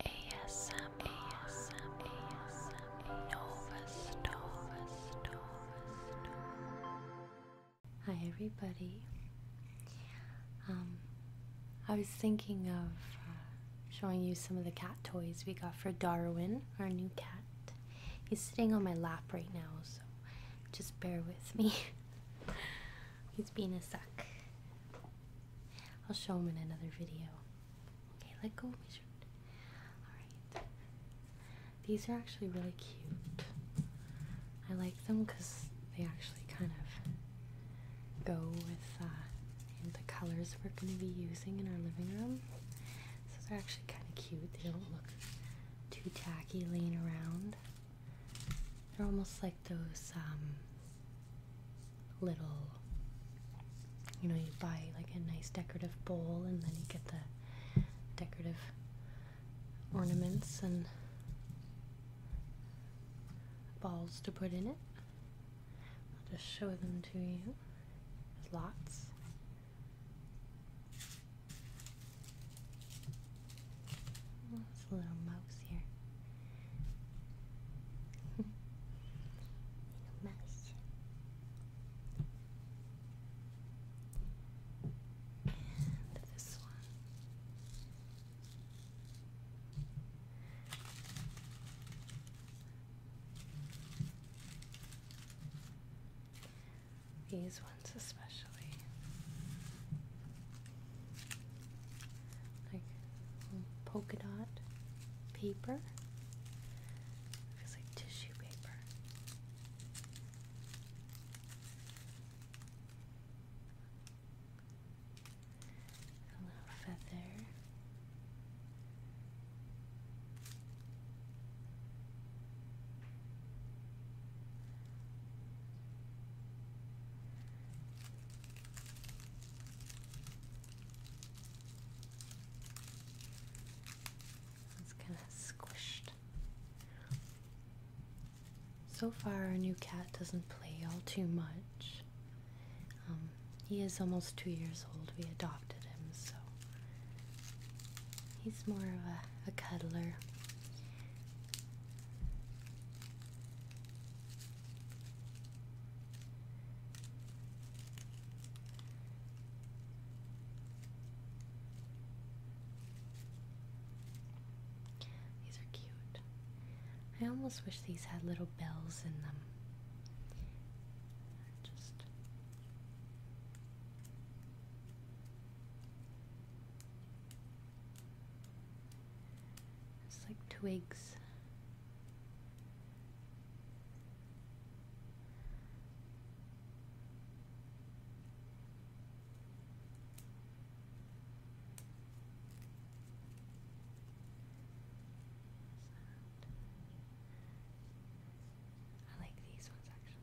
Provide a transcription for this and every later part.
ASM, ASM, ASM, Nova Nova Nova Hi everybody. Um, I was thinking of uh, showing you some of the cat toys we got for Darwin, our new cat. He's sitting on my lap right now, so just bear with me. He's being a suck. I'll show them in another video. Okay, let go of Alright. These are actually really cute. I like them because they actually kind of go with uh, the colors we're going to be using in our living room. So they're actually kind of cute. They don't look too tacky laying around. They're almost like those um, little you know you buy like a nice decorative bowl and then you get the decorative ornaments and balls to put in it I'll just show them to you lots There's a little mouse here this one. These ones, especially like polka dot paper. feels like tissue paper. A little feather. It's kind of squished. So far, our new cat doesn't play all too much. Um, he is almost two years old. We adopted him, so he's more of a cuddler. These are cute. I almost wish these had little bells in them. Just it's like twigs. I like these ones actually.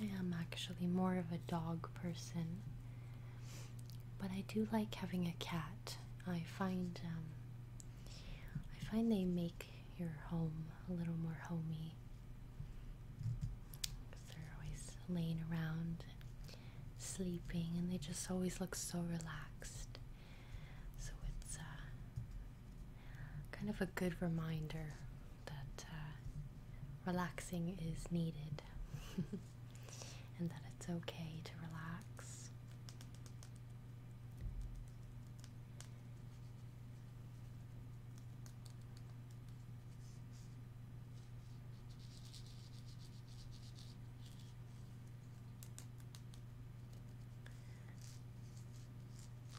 I am actually more of a dog person, but I do like having a cat. I find um, I find they make your home a little more homey they they're always laying around sleeping, and they just always look so relaxed. So it's uh, kind of a good reminder that uh, relaxing is needed, and that it's okay to relax.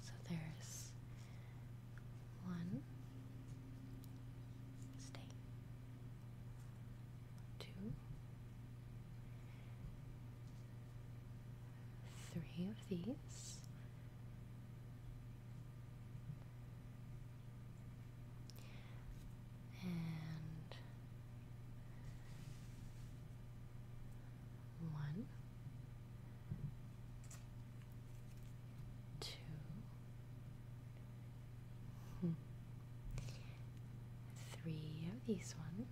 So there's one state, two, three of these and one, two, hmm, three of these ones.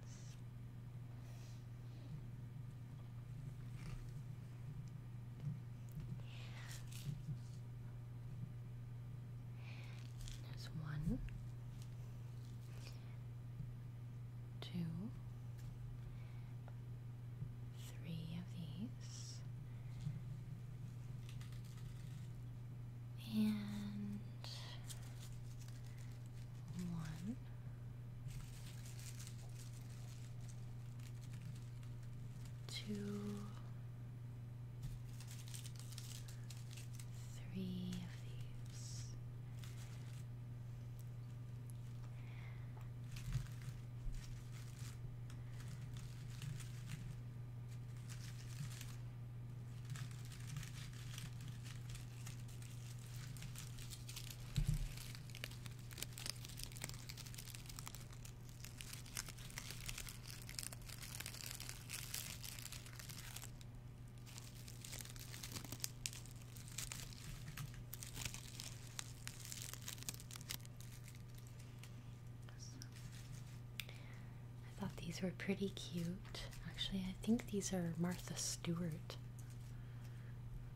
There's one, two, three of these, and one, two, three of these. I thought these were pretty cute. Actually, I think these are Martha Stewart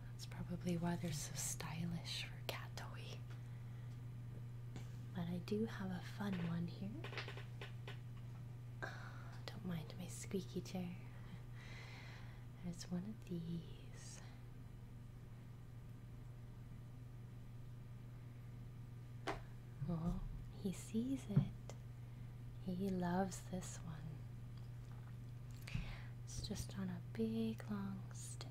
that's probably why they're so stylish for cat toy. But I do have a fun one here. don't mind my squeaky chair. There's one of these. Oh, he sees it. He loves this one. It's just on a big long stick.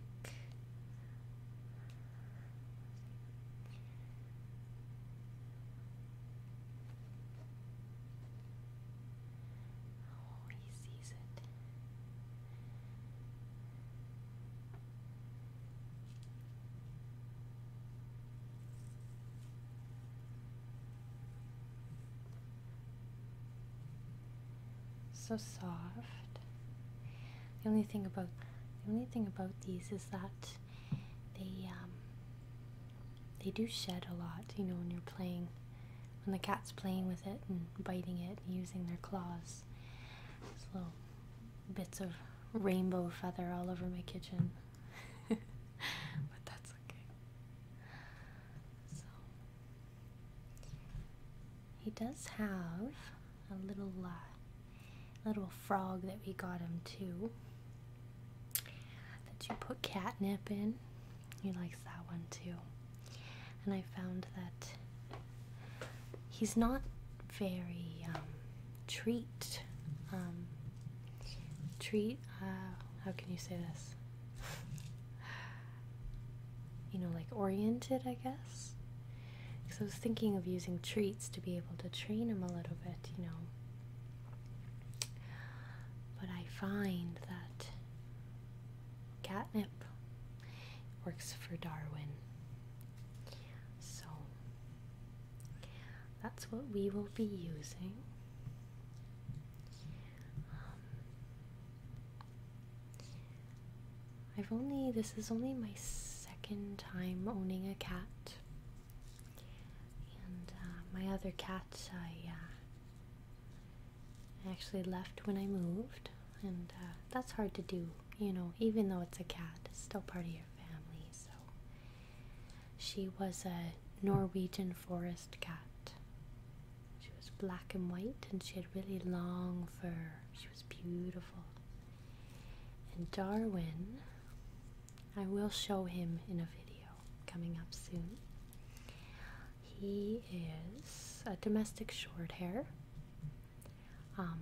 Oh, he sees it. So soft. The only thing about the only thing about these is that they um, they do shed a lot. You know when you're playing, when the cat's playing with it and biting it and using their claws. little bits of rainbow feather all over my kitchen. but that's okay. So he does have a little uh, little frog that we got him too. That you put catnip in. He likes that one too. And I found that he's not very um, treat um, treat uh, how can you say this you know, like oriented, I guess. Because I was thinking of using treats to be able to train him a little bit, you know. But I find that catnip works for Darwin. So that's what we will be using. Um, I've only, this is only my second time owning a cat. And uh, my other cats uh, I actually left when I moved. And uh, that's hard to do, you know, even though it's a cat, it's still part of your family. So she was a Norwegian forest cat. She was black and white and she had really long fur. She was beautiful. And Darwin, I will show him in a video coming up soon. He is a domestic short hair. Um,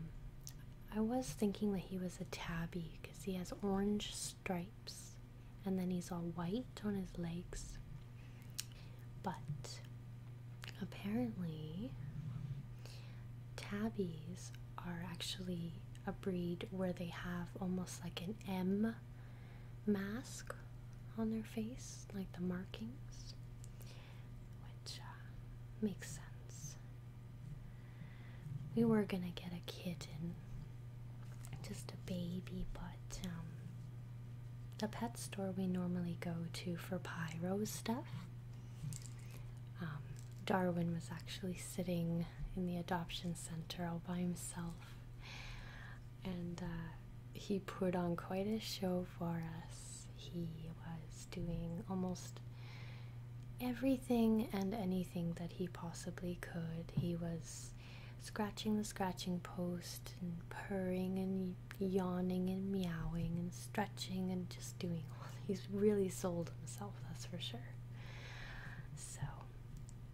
I was thinking that he was a tabby because he has orange stripes and then he's all white on his legs. But apparently, tabbies are actually a breed where they have almost like an M mask on their face, like the markings, which uh, makes sense. We were gonna get a kitten just a baby, but um, the pet store we normally go to for pyro stuff. Um, Darwin was actually sitting in the adoption center all by himself, and uh, he put on quite a show for us. He was doing almost everything and anything that he possibly could. He was scratching the scratching post and purring and yawning and meowing and stretching and just doing all he's really sold himself that's for sure so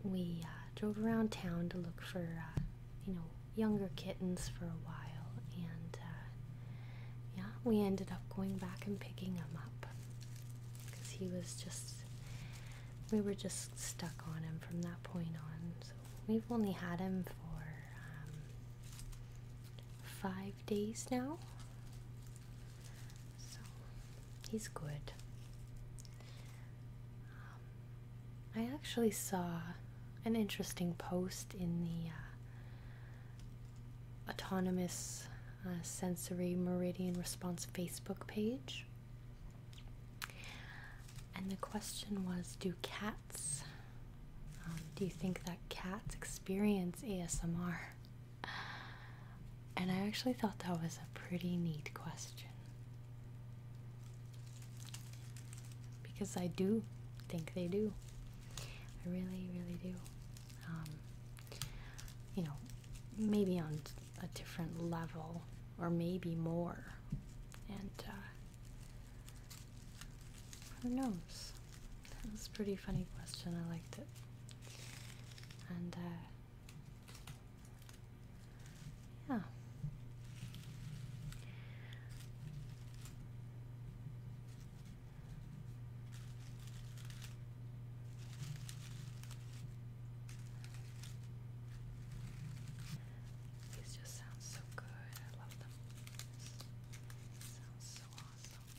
we uh, drove around town to look for uh, you know younger kittens for a while and uh, yeah we ended up going back and picking him up because he was just we were just stuck on him from that point on. So we've only had him for um, five days now. So he's good. Um, I actually saw an interesting post in the uh, Autonomous uh, Sensory Meridian Response Facebook page. And the question was Do cats, um, do you think that cats experience ASMR? And I actually thought that was a pretty neat question. Because I do think they do. I really, really do. Um, you know, maybe on a different level or maybe more. And uh, who knows? That was a pretty funny question. I liked it. And uh, yeah. These just sound so good. I love them. sounds so awesome.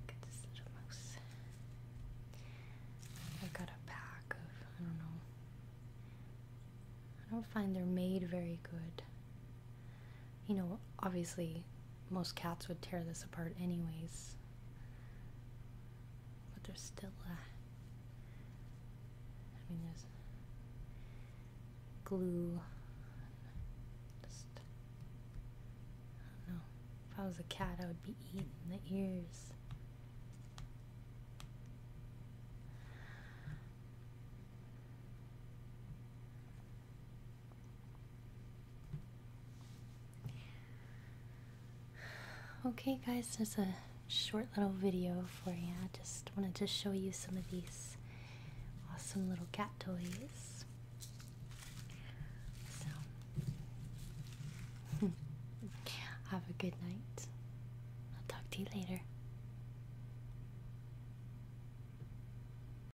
Look at this little mouse. I got a pack of, I don't know. I don't find they're made very good you know, obviously most cats would tear this apart anyways. But there's still a. Uh, I mean, there's glue. Just. I don't know. If I was a cat, I would be eating the ears. Okay guys, there's a short little video for you. I just wanted to show you some of these awesome little cat toys. So, have a good night. I'll talk to you later.